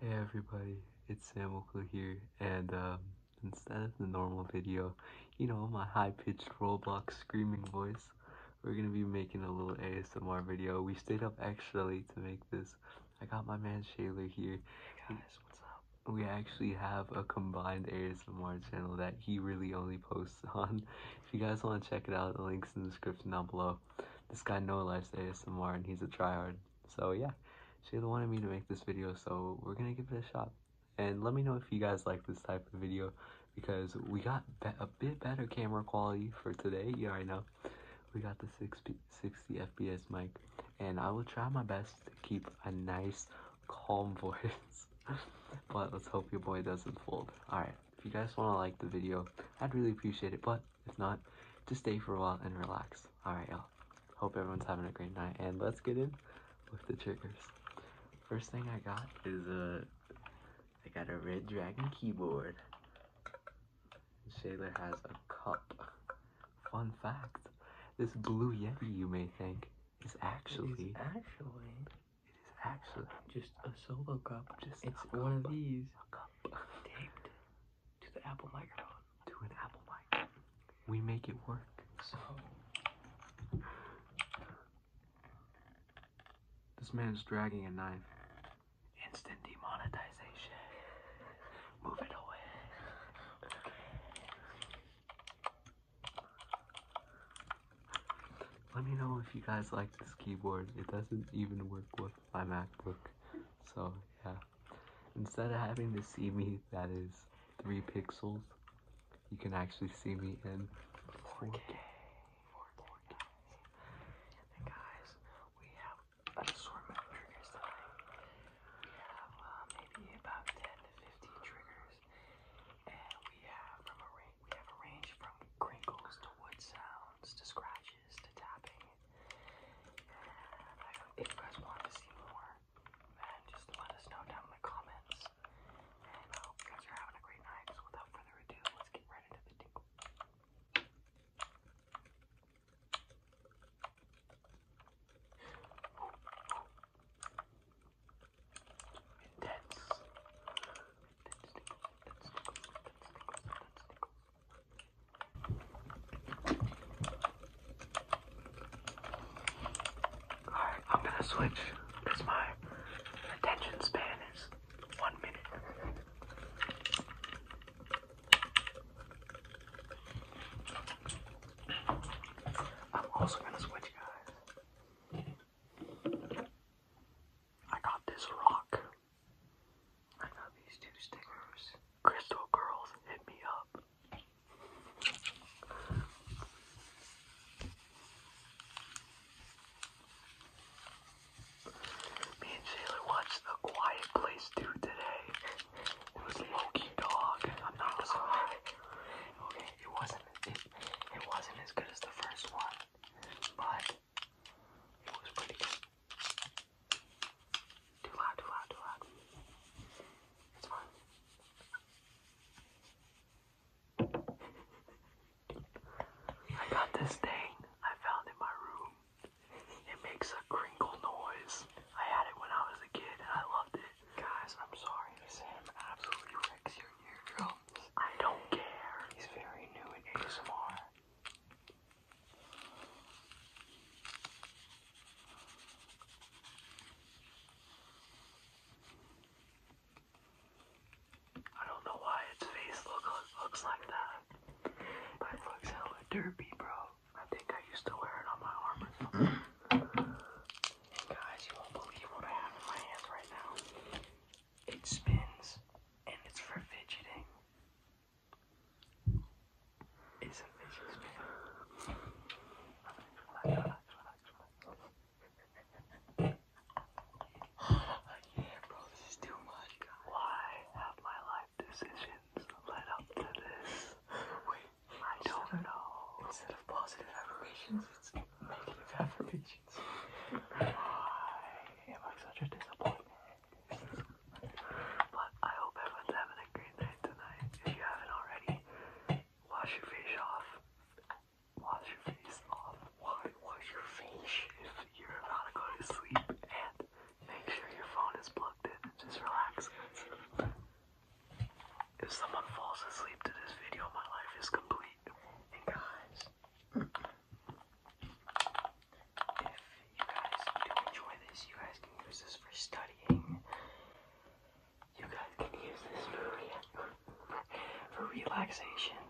Hey everybody, it's Sam here, and um, instead of the normal video, you know, my high-pitched Roblox screaming voice, we're gonna be making a little ASMR video. We stayed up extra late to make this. I got my man Shaylor here. guys, what's up? We actually have a combined ASMR channel that he really only posts on. If you guys want to check it out, the link's in the description down below. This guy Noah likes ASMR, and he's a tryhard. So yeah, she wanted me to make this video, so we're gonna give it a shot. And let me know if you guys like this type of video, because we got a bit better camera quality for today, Yeah, I know. We got the 60, 60 FPS mic, and I will try my best to keep a nice, calm voice. but let's hope your boy doesn't fold. Alright, if you guys want to like the video, I'd really appreciate it, but if not, just stay for a while and relax. Alright, y'all. Hope everyone's having a great night. And let's get in with the triggers. First thing I got is a. Uh, I got a Red Dragon keyboard. Shaler has a cup. Fun fact this blue Yeti, you may think, is actually. It is actually. It is actually. Just a solo cup. Just It's one of these. cup. Taped to the Apple microphone, to an Apple mic. We make it work. So this man's dragging a knife. Instant demonetization. Move it away. Let me know if you guys like this keyboard. It doesn't even work well my MacBook. So yeah, instead of having to see me, that is three pixels, you can actually see me in 4K. And guys, we have an assortment of triggers We have uh, maybe about 10 to 15 triggers, and we have from a range, we have a range from crinkles to wood sounds to scratches if you guys want to see more, just let us know down in the comments. I hope you guys are having a great night. So without further ado, let's get right into the tingle. intense. Alright, I'm gonna switch because my attention span is one minute. I'm also gonna switch, guys. I got this rock. I got these two stickers. Crystal Girls, hit me up. Me and Taylor watched The Quiet Place 2 today. It was Loki Dog. I'm not gonna Okay, it wasn't it wasn't as good as the first one, but it was pretty good. Too hot, too hot, too hot. It's fine. I got this thing I found in my room. It makes a crinkle noise. I had it when I was a kid and I loved it. Guys, I'm sorry. this Sam absolutely wrecks your eardrums. I don't care. He's very new in ASMR. I don't know why its face look, looks like that, but it looks hella derpy, bro. I think I used to wear it on my arm mm-hmm. Guys, you won't believe what I have in my hands right now. It spins, and it's for fidgeting. It's a visual experience. Why have my life decisions led up to this? Wait, I don't know. Instead of positive affirmations, it's negative affirmations. Why am I such a disappointment? But I hope everyone's having a great night tonight. If you haven't already, wash your face off. Wash your face off. Wash, wash your face if you're about to go to sleep. And make sure your phone is plugged in and just relax. If someone falls asleep to this video, my life is complete. And guys, if you guys do enjoy this, you guys can use this for studying. You guys can use this for, for relaxation.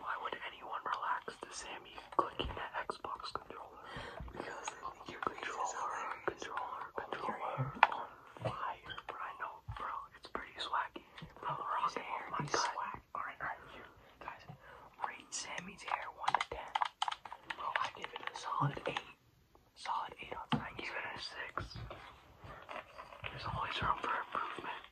Why would anyone relax to Sammy clicking that Xbox controller? Because your controller, controller, controller, controller on fire. I know, bro, it's pretty swaggy. Bro, his hair my swag. Alright, guys, rate Sammy's hair 1 to 10. I give it a solid 8. Solid 8 I give it a 6. There's always room for improvement.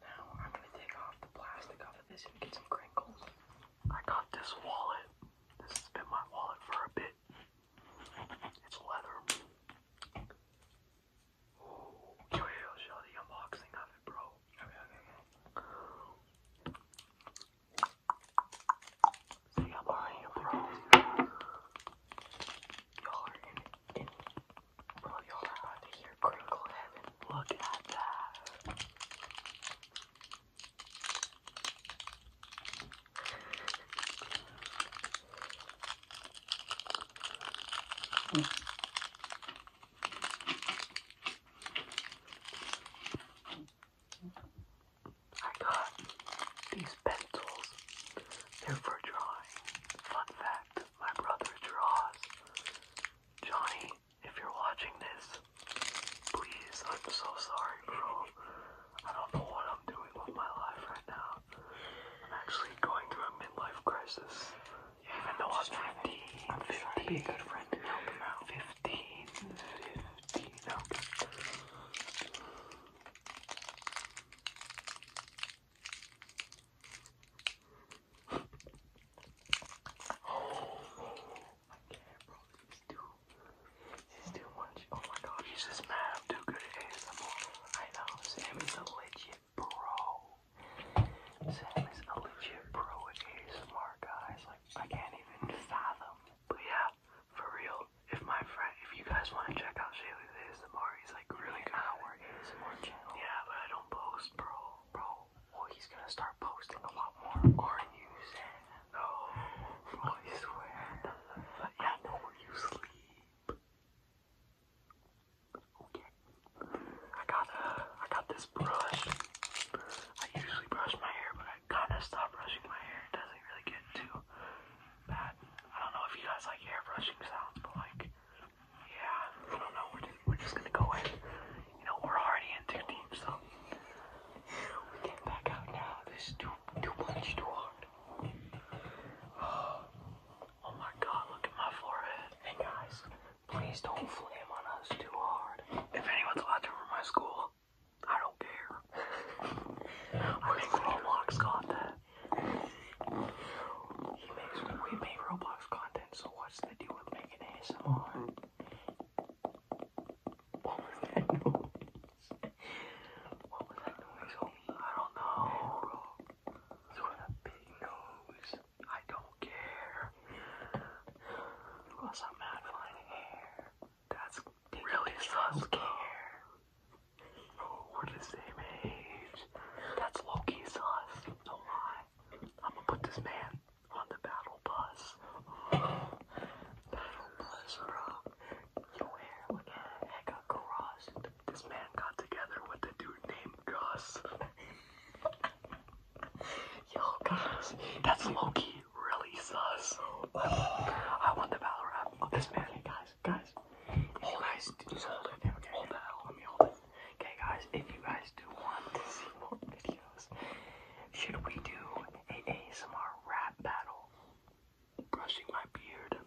Now, I'm gonna take off the plastic off of this and get some crinkles. I got this wallet. This has been my wallet for a bit. It's leather. Ooh, yo, yo, show of it, bro. See, I'm already Y'all are in, in, bro, y'all are about to hear crinkle heaven. Look at that. I got these pencils. They're for drawing. Fun fact, my brother draws. Johnny, if you're watching this, Please, I'm so sorry, bro. I don't know what I'm doing with my life right now. I'm actually going through a midlife crisis. Yeah, Even though i 15, I'm trying to be a good friend and help him out. 15, 15, okay. I can't, bro. This too, this too much. Oh my god, he's just mad. I'm too good at ASMR. I know, Sam is a legit pro. Sam is a legit pro at ASMR, guys. Like, I can't even fathom. But yeah, for real, if my friend, if you guys want to check out Shayla's ASMR, he's like really good. Our ASMR channel. Yeah, but I don't post, bro. Bro, well, he's gonna start posting a lot more. Are you no, I swear. I know you sleep. Okay. I got uh, I got this brush. I usually brush my hair, but I kind of stopped brushing my hair. It doesn't really get too bad. I don't know if you guys like hair brushing sounds, but like, yeah, I don't know. We're we're just gonna go in you know, we're already in too deep, so we can't back out now. This too, too much, too hard. Oh my god, look at my forehead. Hey guys, please don't flame on us too hard. If anyone's watching from my school, I don't care. I think Roblox got that. we make Roblox content, so what's the deal with making ASMR? Mm-hmm. What was that noise? What was that noise, homie? I don't know, bro. You got a big nose. I don't care. You got some mad flying hair. That's really sus. Care. Bro, we're the same age. That's low key sus. No I'm gonna put this man on the battle bus. battle bus, bro. Yo, hair, look at that. Heck This man got together with a dude named Goss. Yo, Goss. That's Loki. Really sus. I want the battle rap. Oh, this man. guys, guys. Hold guys, just hold it. Okay, okay. Hold that. Let me hold it. Okay, guys, if you guys do want to see more videos, should we do an ASMR rap battle? Brushing my beard.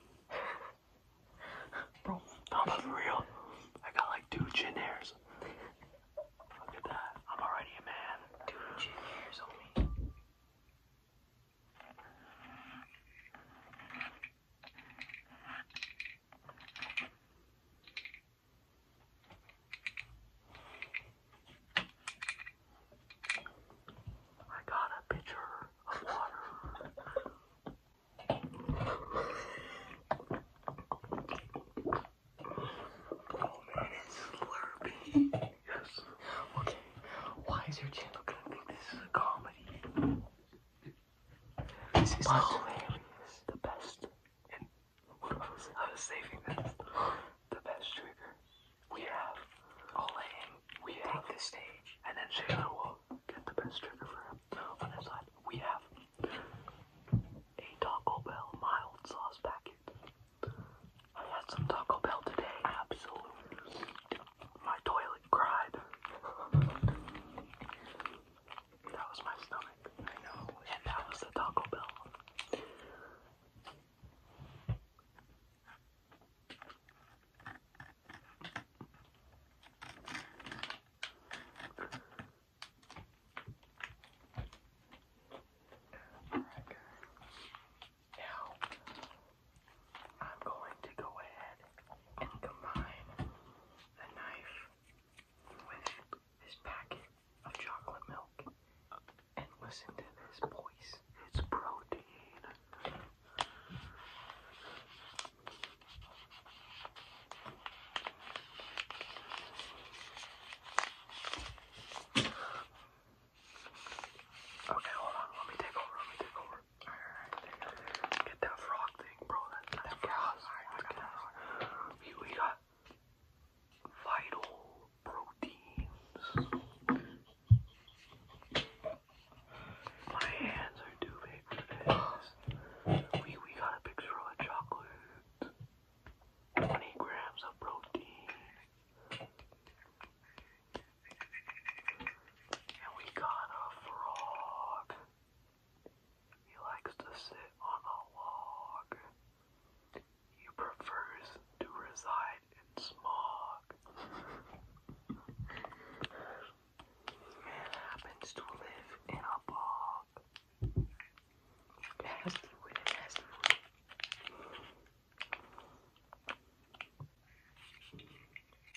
Bro, I'm real. I got like two chin hairs. Look at that. I'm already a man. Two chin hairs on me. I got a pitcher of water. Oh it's slurpy. yes. Okay. Why is your channel gonna think this is a comedy? This is The best. I was, saving this. The best trigger. We have all We have the stage, and then Shaylor will get the best trigger for him. On his side, we have a Taco Bell mild sauce packet. I had some Taco Bell today. Absolutely, my toilet cried. that was my stomach. I know, and that was the Taco Bell now I'm going to go ahead and combine the knife with this packet of chocolate milk. And listen to this, voice. It's protein. Okay, hold on. Let me take over. Let me take over. All right, there you Get that frog thing, bro. That's that frog. All right, we got vital proteins. My hands are too big for this. We, we got a picture of a chocolate. 20 grams of protein. And we got a frog. He likes to sit on a log. He prefers to reside in smog. Man happens to live in a bog.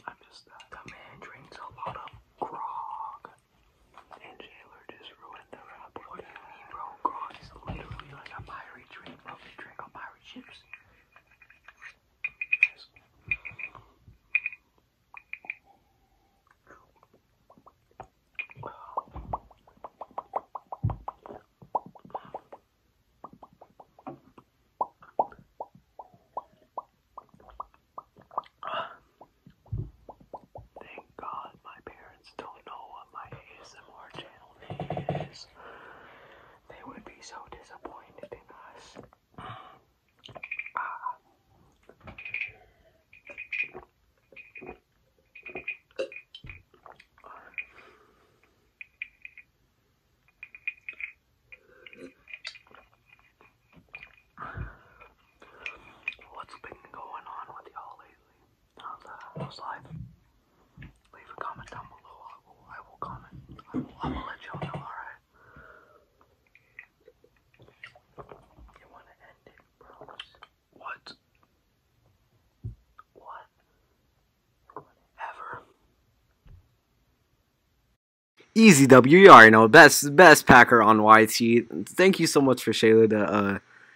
I missed that. The man drinks a lot of grog. And Jailer just ruined the rap. What do you mean, bro? Grog is literally like a pirate drink, bro. You drink on pirate ships. Yes. Thank God my parents don't know what my ASMR channel is. They would be so disappointed in us. What's been going on with y'all lately. How's that? How's Leave a comment down below. I will, comment. I will, let y'all know, alright? You wanna end it, bros? What? What? Ever? Easy W, you already know. Best, best packer on YT. Thank you so much for Shayla The. uh,